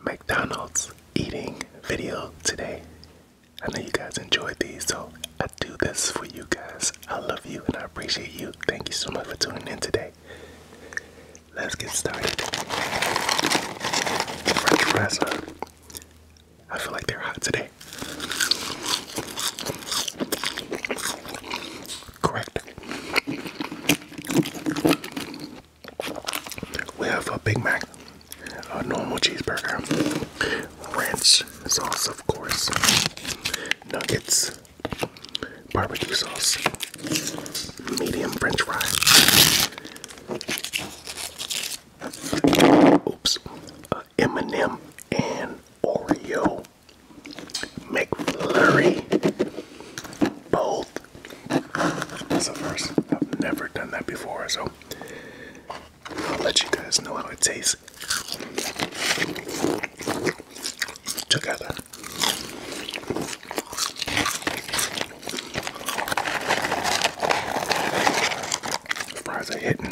McDonald's eating video today. I know you guys enjoyed these, so I do this for you guys. I love you and I appreciate you. Thank you so much for tuning in today. Let's get started. French fries I feel like they're hot today. Correct. We have a Big Mac, a normal cheeseburger, ranch sauce, of course, nuggets, barbecue sauce, medium french fry, oops, uh, m and Oreo Make McFlurry. Both. That's the first. I've never done that before, so I'll let you guys know how it tastes together. Fries are hitting.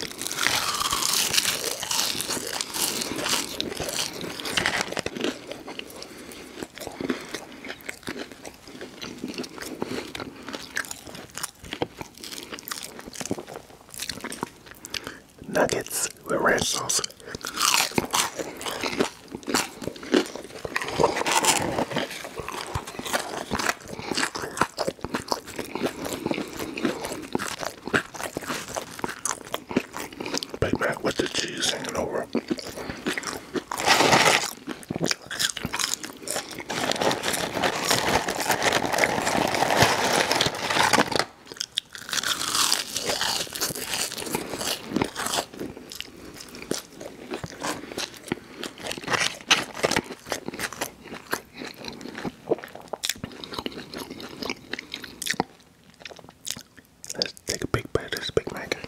Nuggets with ranch sauce. Big Mac with the cheese hanging over. Let's take a big bite of this Big Mac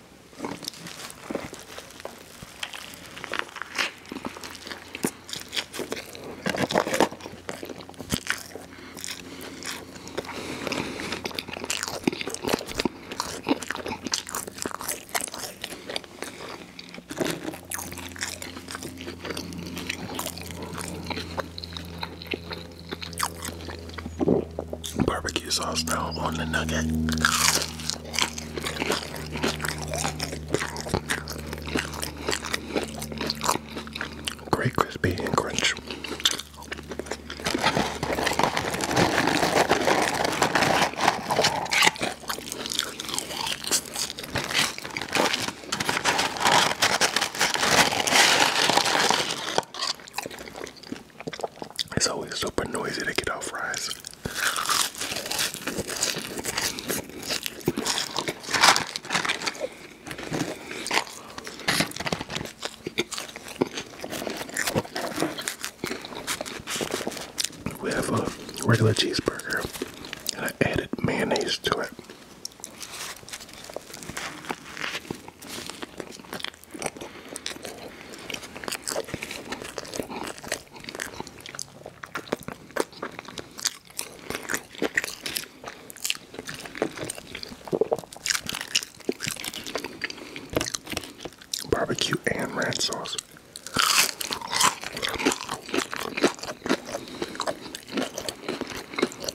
barbecue sauce now on the nugget. Great crispy and crunchy. It's always super noisy to get off fries. We have a regular cheeseburger and I added mayonnaise to it. Barbecue and red sauce.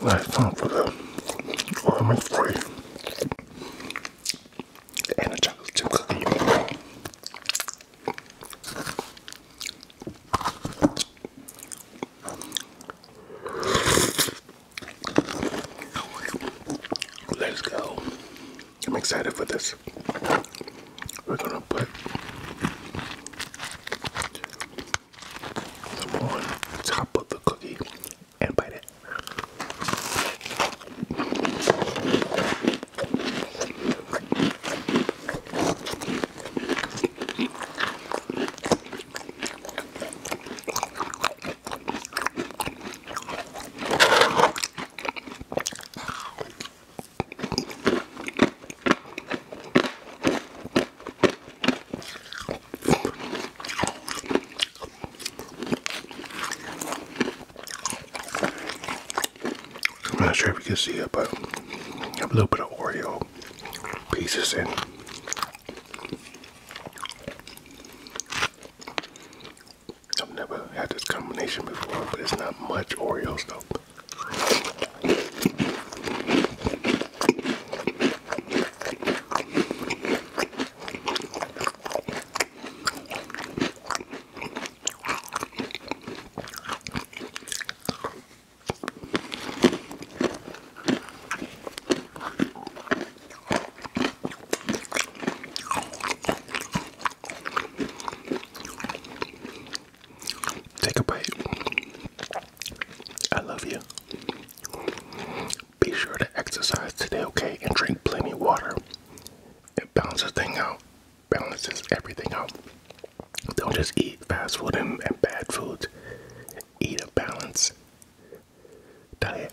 Last time for the oil free and chocolate Let's go. I'm excited for this. We're gonna put them on top of the cookie and bite it. I'm not sure if you can see it, but I have a little bit of Oreo pieces in. I've never had this combination before, but it's not much Oreos though. Take a bite. I love you. Be sure to exercise today, okay? And drink plenty of water. It balances thing out. Balances everything out. Don't just eat fast food and, and bad foods. Eat a balanced diet.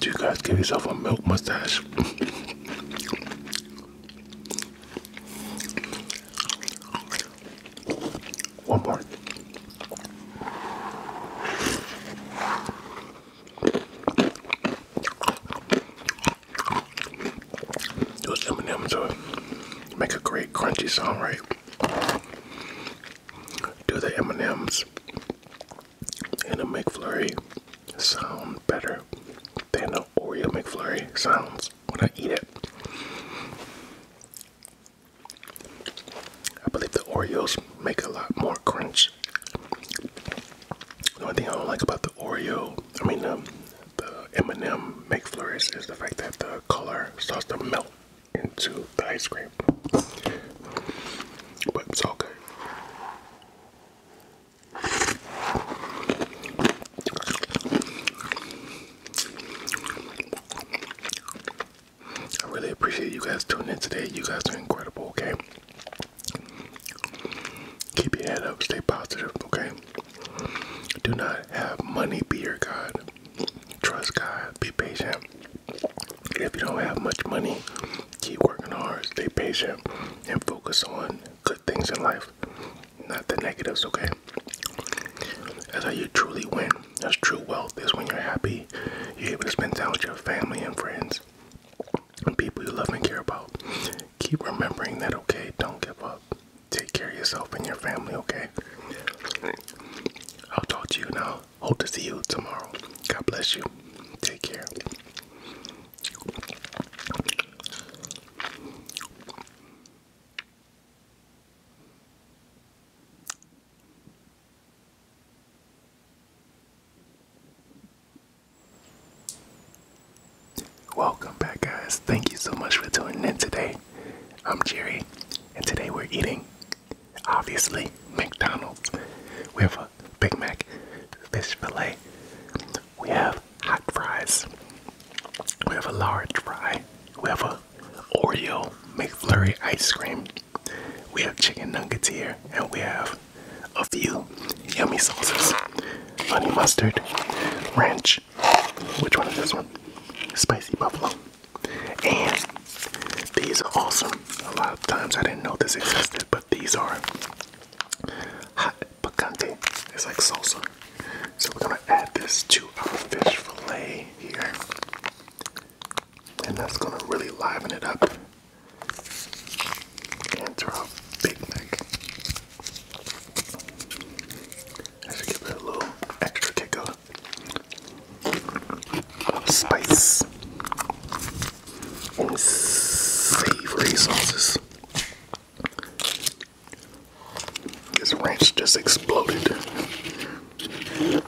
Do you guys give yourself a milk mustache? One more. Those M&Ms are, make a great crunchy sound, right? Do the M&Ms and a McFlurry sound better than the Oreo McFlurry sounds when I eat it. I believe the Oreos make a lot more crunch. The only thing I don't like about the Oreo, I mean um, the M&M McFlurries, is the fact that the color starts to melt into the ice cream. But it's okay. I really appreciate you guys tuning in today. You guys are incredible, okay? Keep your head up, stay positive, okay? Do not have money be your God. Trust God, be patient, if you don't have much money, keep working hard, stay patient, and focus on good things in life, not the negatives, okay? That's how you truly win. That's true wealth is when you're happy, you're able to spend time with your family and friends and people you love and care about. Keep remembering that, okay? Don't give up. Take care of yourself and your family, okay? I'll talk to you now. Hope to see you tomorrow. God bless you. Take care. Welcome back, guys. Thank you so much for tuning in today. I'm Jerry, and today we're eating Obviously, McDonald's. We have a Big Mac, fish fillet. We have hot fries. We have a large fry. We have a Oreo McFlurry ice cream. We have chicken nuggets here, and we have a few yummy sauces: honey mustard, ranch. Which one is this one? Spicy buffalo. And these are awesome. A lot of times I didn't know this existed, but these are hot picante. It's like salsa. So we're gonna add this to our fish fillet here. And that's gonna really liven it up. And throw a Big Mac. I give it a little extra kick up spice, savory sauces. This ranch just exploded. You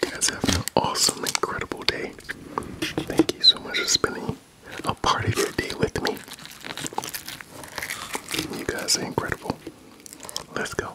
guys have an awesome, incredible day. Thank you so much for spending a part of your day with me. You guys are incredible. Let's go.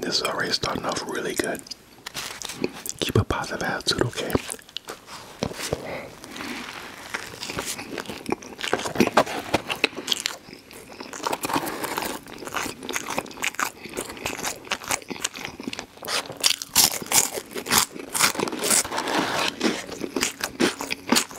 This is already starting off really good. Keep a positive attitude, okay?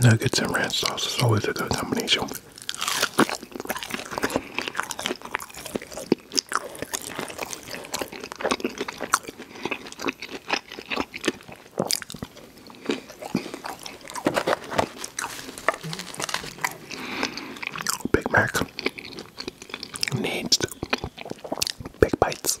Nuggets and ranch sauce is always a good combination. Big Mac needs big bites.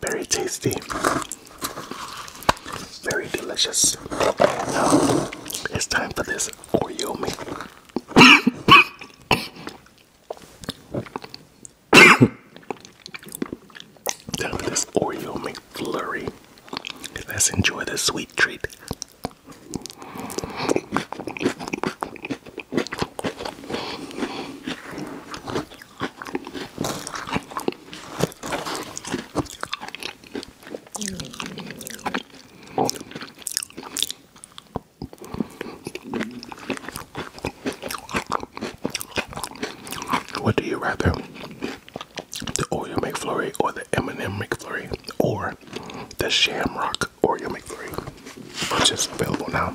very tasty, very delicious. it's time for this Oreo me. time for this Oreo McFlurry. Let's enjoy this sweet treat. What do you rather? The Oreo McFlurry or the M&M McFlurry or the Shamrock Oreo McFlurry, which is available now.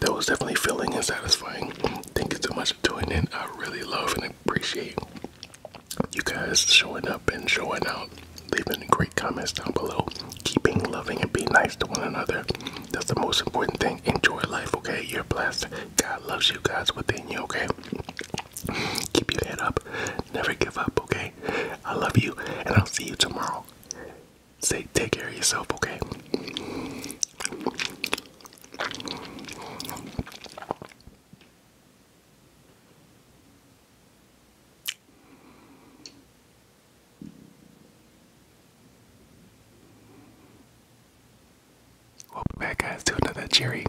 that was definitely filling and satisfying. Thank you so much for tuning in. I really love and appreciate you guys showing up and showing out. Leaving great comments down below. Keeping loving and being nice to one another. That's the most important thing. Enjoy life, okay? You're blessed. God loves you guys within you, okay? Keep your head up. Never give up, okay? I love you, and I'll see you tomorrow say take care of yourself, okay? Welcome back guys to another cherry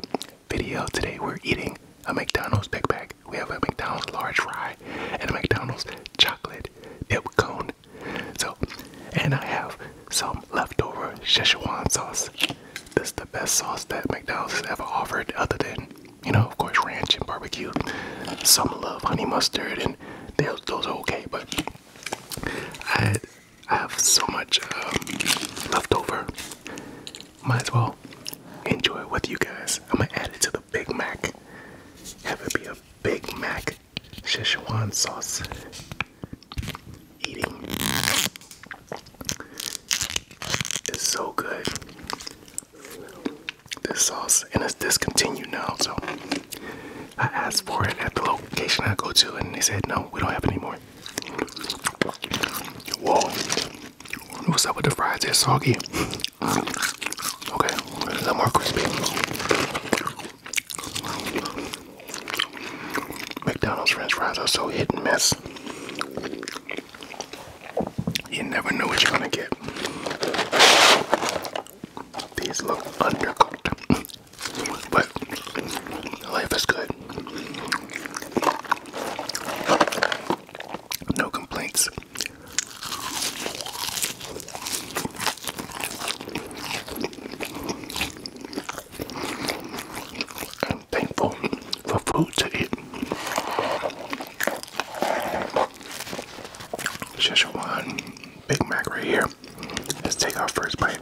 video. Today we're eating a McDonald's Big Bag. We have a McDonald's large fry and a McDonald's chocolate dip cone. So, and I have some leftover Szechuan sauce. This is the best sauce that McDonald's ever offered, other than, you know, of course, ranch and barbecue. Some love honey mustard, and those, those are okay, but I, I have so much um, leftover. Might as well enjoy it with you guys. I'm gonna add it to the with a Big Mac. Have it be a Big Mac Szechuan sauce. Eating is so good. This sauce and it's discontinued now, so I asked for it at the location I go to, and they said no, we don't have it anymore. Whoa, what's up with the fries? They're soggy. Okay, a little more crispy. McDonald's french fries are so hit and miss. You never know what you're gonna get. These look undercooked, but life is good. No complaints. I'm thankful for food to eat. Just one Big Mac right here. Let's take our first bite.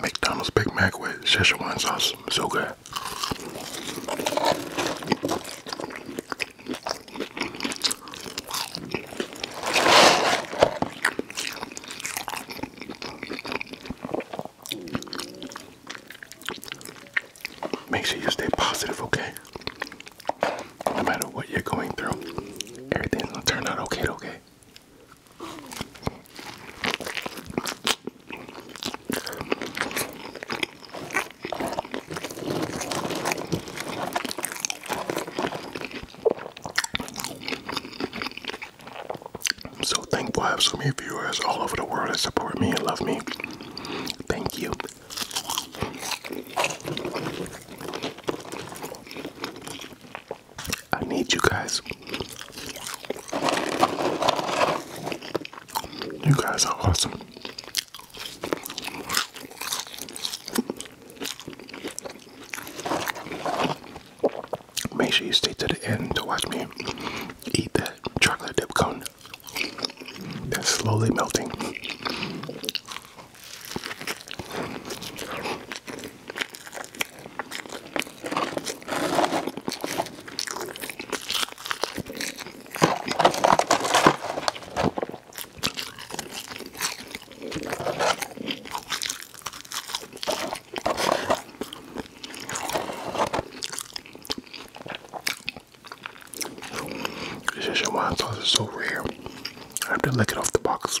McDonald's Big Mac with Szechuan sauce, so good. Make sure you stay positive, okay? No matter what you're going through, everything's going turn out okay, okay? I'm so thankful I have so many viewers all over the world that support me and love me. Thank you. I need you guys. You guys are awesome. Make sure you stay to the end to watch me eat that chocolate dip cone that's slowly melting. This Szechuan sauce is so rare. I have to lick it off the box.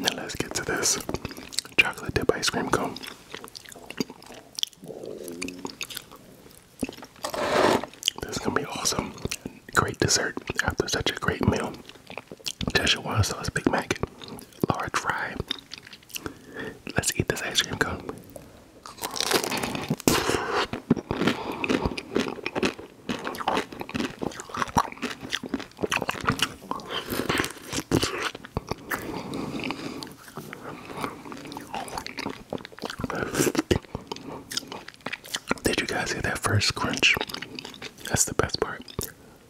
Now let's get to this chocolate dip ice cream cone. This is gonna be awesome. Great dessert after such a great meal. Tessa wants us Big Mac, large fry, Let's eat this ice cream cone. Did you guys hear that first crunch? That's the best part.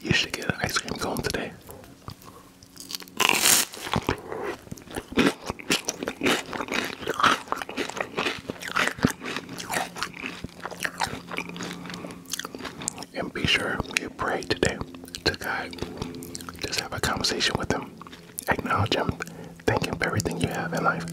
You should get an ice cream cone today. And be sure you pray today to God. Just have a conversation with Him. Acknowledge Him Thank you for everything you have in life.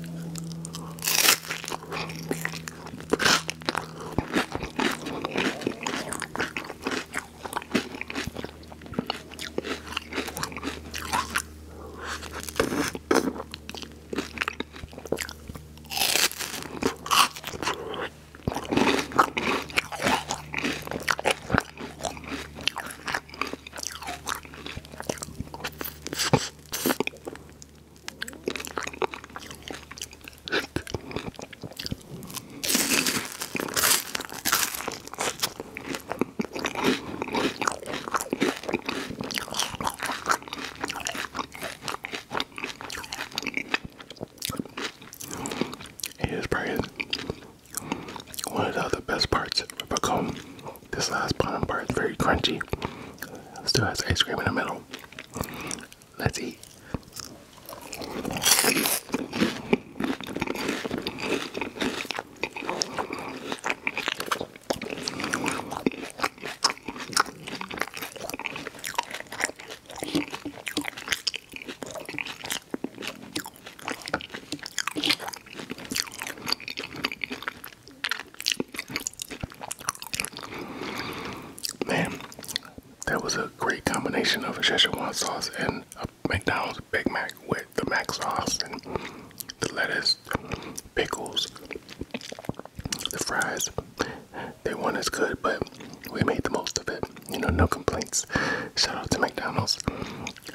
It is probably one of the best parts of a comb. This last pumpkin bar is very crunchy. Still has ice cream in the middle. Let's eat. Man, that was a great combination of a Szechuan sauce and a McDonald's Big Mac with the Mac sauce and the lettuce, pickles, the fries. They weren't as good, but we made the most of it. You know, no complaints. Shout out to McDonald's.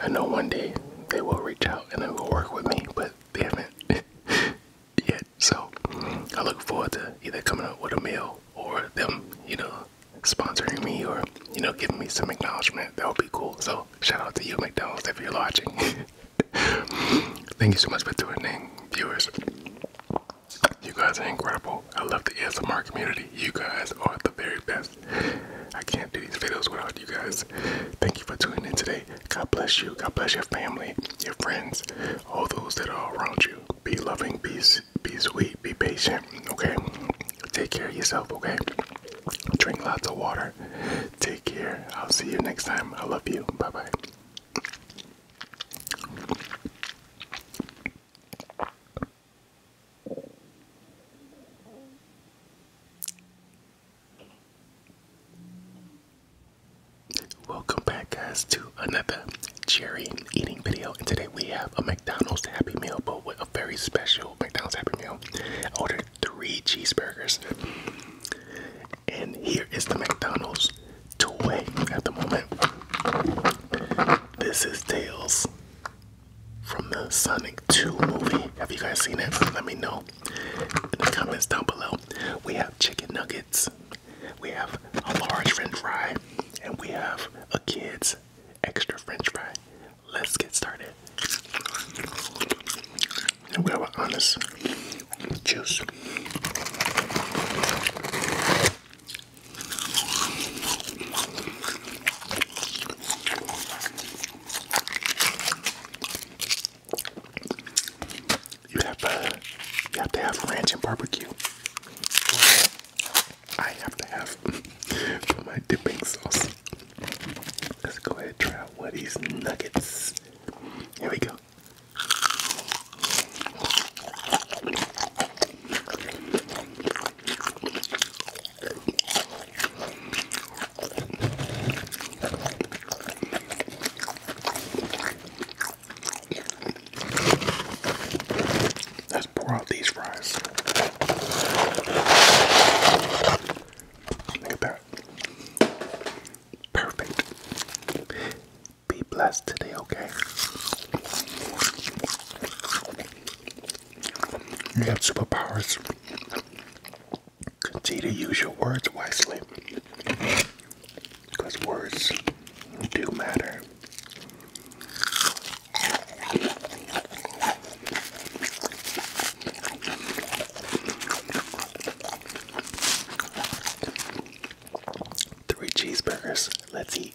I know one day they will reach out and they will work with me, but they haven't. yet. So I look forward to either coming up with a meal or them, you know, sponsoring me or, you know, giving me some acknowledgement. That would be cool. So shout out to you, McDonald's, if you're watching. Thank you so much for tuning in, viewers. You guys are incredible. I love the ASMR community. You guys are the very best. I can't do these videos without you guys. Thank you for tuning in today. God bless you. God bless your family, your friends, all those that are around you. Be loving, be, be sweet, be patient, okay? Take care of yourself, okay? Drink lots of water. Take care. I'll see you next time. I love you. Bye bye. Welcome back, guys, to another cherry eating video. And today we have a McDonald's Happy Meal, but with a very special McDonald's Happy Meal. I ordered three cheeseburgers. And here is the McDonald's toy at the moment. This is Tails from the Sonic 2 movie. Have you guys seen it? Let me know in the comments down below we have chicken nuggets, we have a large french fry, and we have a kid's extra french fry. Let's get started. we have an honest juice. You have uh, you have to have ranch and barbecue. I have to have for my dipping sauce. Let's go ahead and try out of these nuggets. Here we go. Let's pour out these fries. Look at that. Perfect. Be blessed today, okay? You have superpowers. Continue to use your words wisely because words do matter. Three cheeseburgers. Let's eat.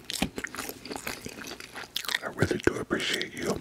I really do appreciate you.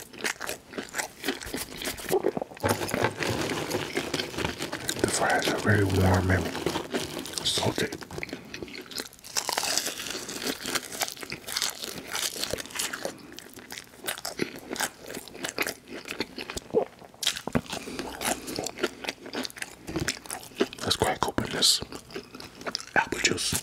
The fries are very warm and salty. Let's crack this apple juice.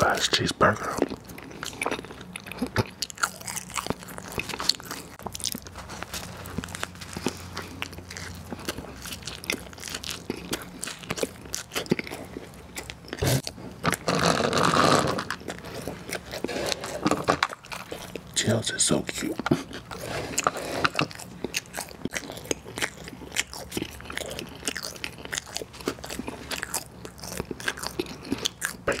Last cheeseburger. Tails is so cute. Big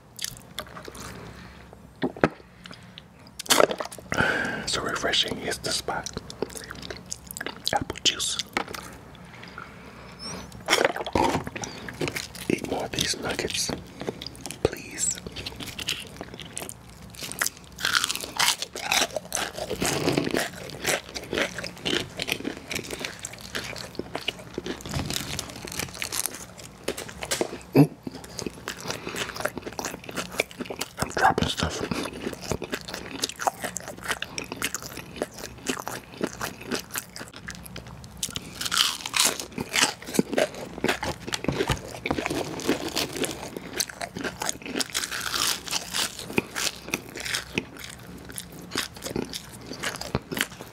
So refreshing is the spot. Apple juice. Eat more of these nuggets, please. Ooh. I'm dropping stuff.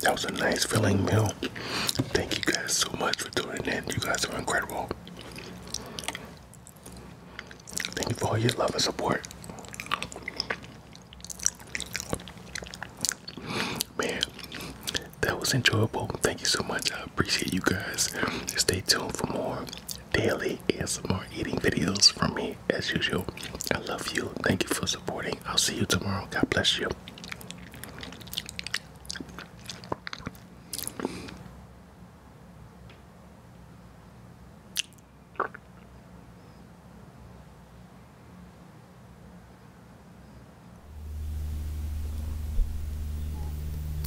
That was a nice filling meal. Thank you guys so much for tuning in. You guys are incredible. Thank you for all your love and support man that was enjoyable thank you so much i appreciate you guys stay tuned for more daily and some more eating videos from me as usual i love you thank you for supporting i'll see you tomorrow god bless you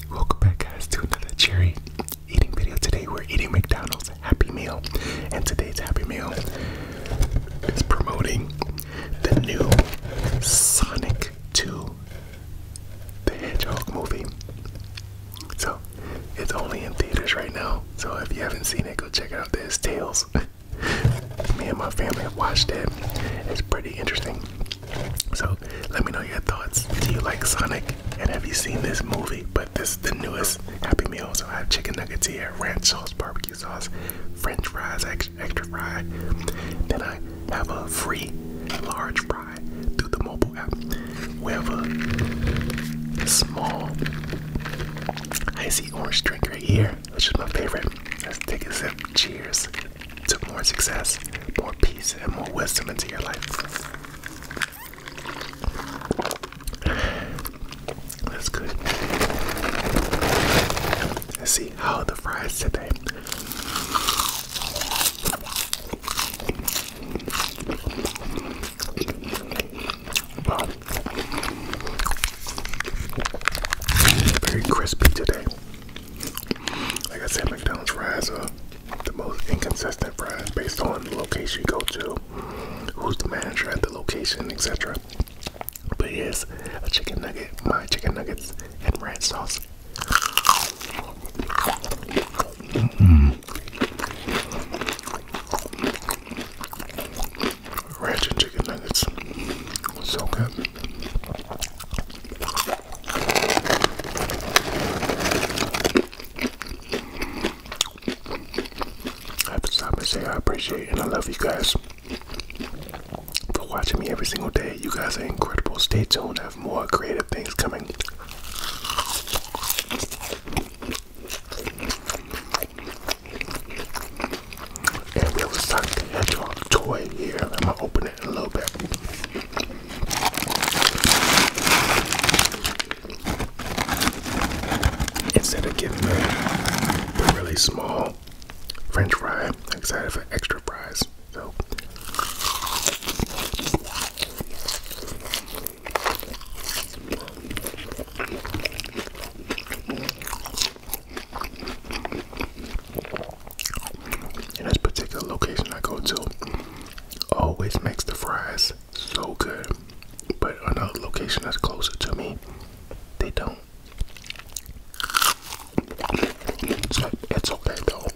Welcome back, guys, to another cherry eating video. Today, we're eating McDonald's Happy Meal, and today's Happy Meal is promoting the new Sonic 2 the Hedgehog movie. So, it's only in theaters right now. So, if you haven't seen it, go check it out. There's Tails. Me and my family have watched it. It's pretty interesting. So let me know your thoughts. Do you like Sonic? And have you seen this movie? But this is the newest Happy Meal. So I have chicken nuggets here, ranch sauce, barbecue sauce, French fries, extra fry. Then I have a free large fry through the mobile app. We have a small icy orange drink right here, which is my favorite. Let's take a sip. Cheers took more success, more peace, and more wisdom into your life. That's good. Let's see how the fries today. Wow. Very crispy today. Like I said, McDonald's fries are the most inconsistent fries based on the location you go to, who's the manager at the location, etc. But yes, a chicken nugget, my chicken nuggets, and ranch sauce. Mm -mm. Ranch and chicken nuggets, so good. I have to stop and say I appreciate and I love you guys for watching me every single day. You guys are incredible. Stay tuned. have more creative things coming. And we have a Sonic the Hedgehog toy here. I'm gonna open it in a little bit. Instead of getting the, really small French fry, I'm excited for extra prize. So. And this particular location I go to always makes the fries so good. But another location that's closer to me, they don't. it's okay though.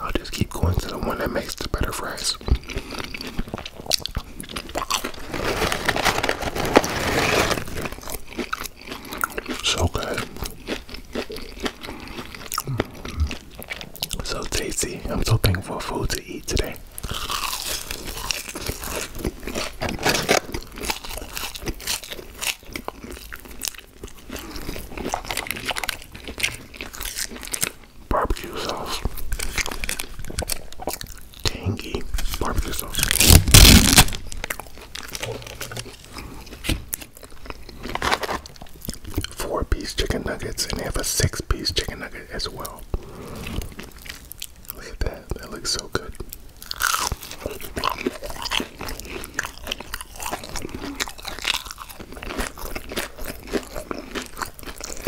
I'll just keep going to the one that makes the better fries. So good. So tasty. I'm so thankful for food to eat today. Barbecue sauce tangy barbecue sauce. Four piece chicken nuggets, and they have a six piece chicken nugget as well. Look at that, that looks so good.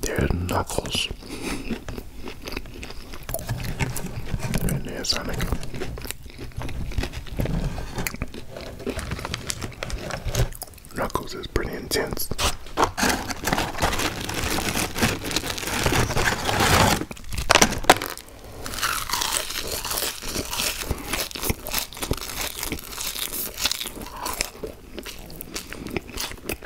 There's Knuckles. Knuckles is pretty intense.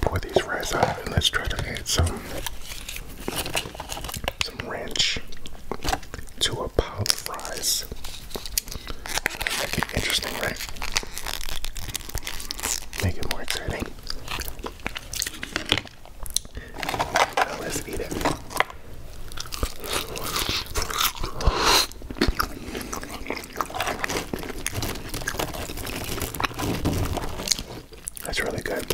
Pour these rice out and let's try to add some some ranch to a pile of rice. interesting, right? Make it more exciting let's eat it. That's really good.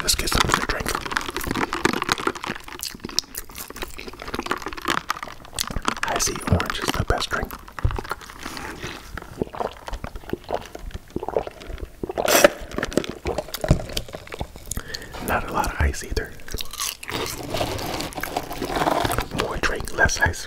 Let's get something to drink. I see orange is the best drink. Not a lot of ice either. More drink, less ice.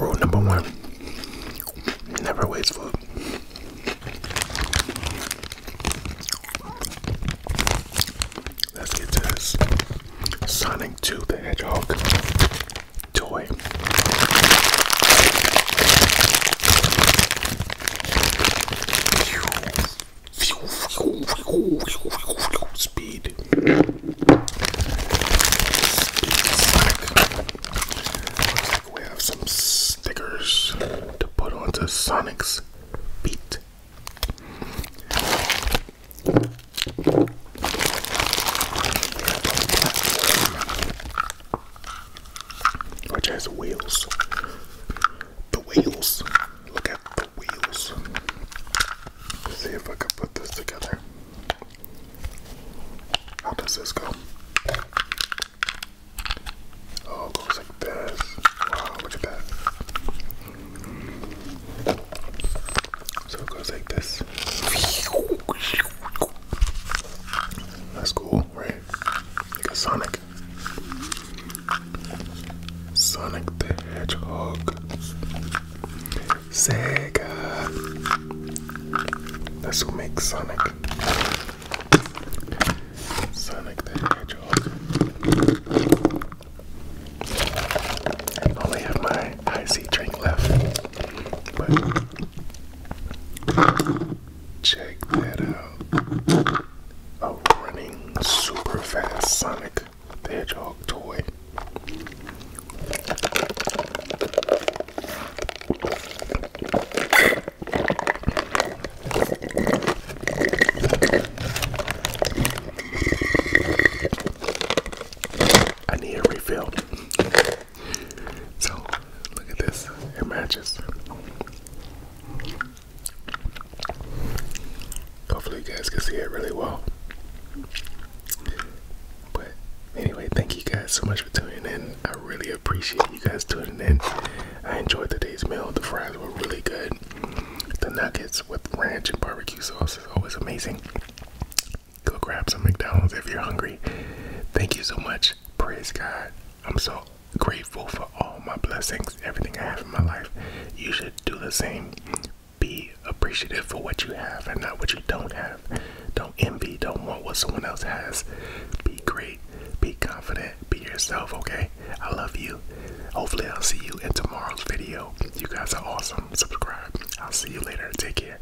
Rule number one never waste food. Let's get to this Sonic 2 the Hedgehog toy. Speed we have some stickers to put onto Sonic's feet. Which has wheels. The wheels. Look at the wheels. see if I can put this together. How does this go? Oh, it goes like this. Wow, look at that. So it goes like this. That's cool, right? Like a Sonic. Sonic the Hedgehog. Sega. That's who makes Sonic. Sonic the Hedgehog. only have my icy drink left, but check that out. A running super fast Sonic the Hedgehog toy. I need a refill. So, look at this. It matches. Hopefully, you guys can see it really well. But anyway, thank you guys so much for tuning in. I really appreciate you guys tuning in. I enjoyed today's meal. The fries were really good. The nuggets with ranch and barbecue sauce is always amazing. Go grab some McDonald's if you're hungry. Thank you so much. Praise God. I'm so grateful for all my blessings, everything I have in my life. You should do the same be appreciative for what you have and not what you don't have. Don't envy, don't want what someone else has. Be great, be confident, be yourself, okay? I love you. Hopefully, I'll see you in tomorrow's video. You guys are awesome. Subscribe. I'll see you later. Take care.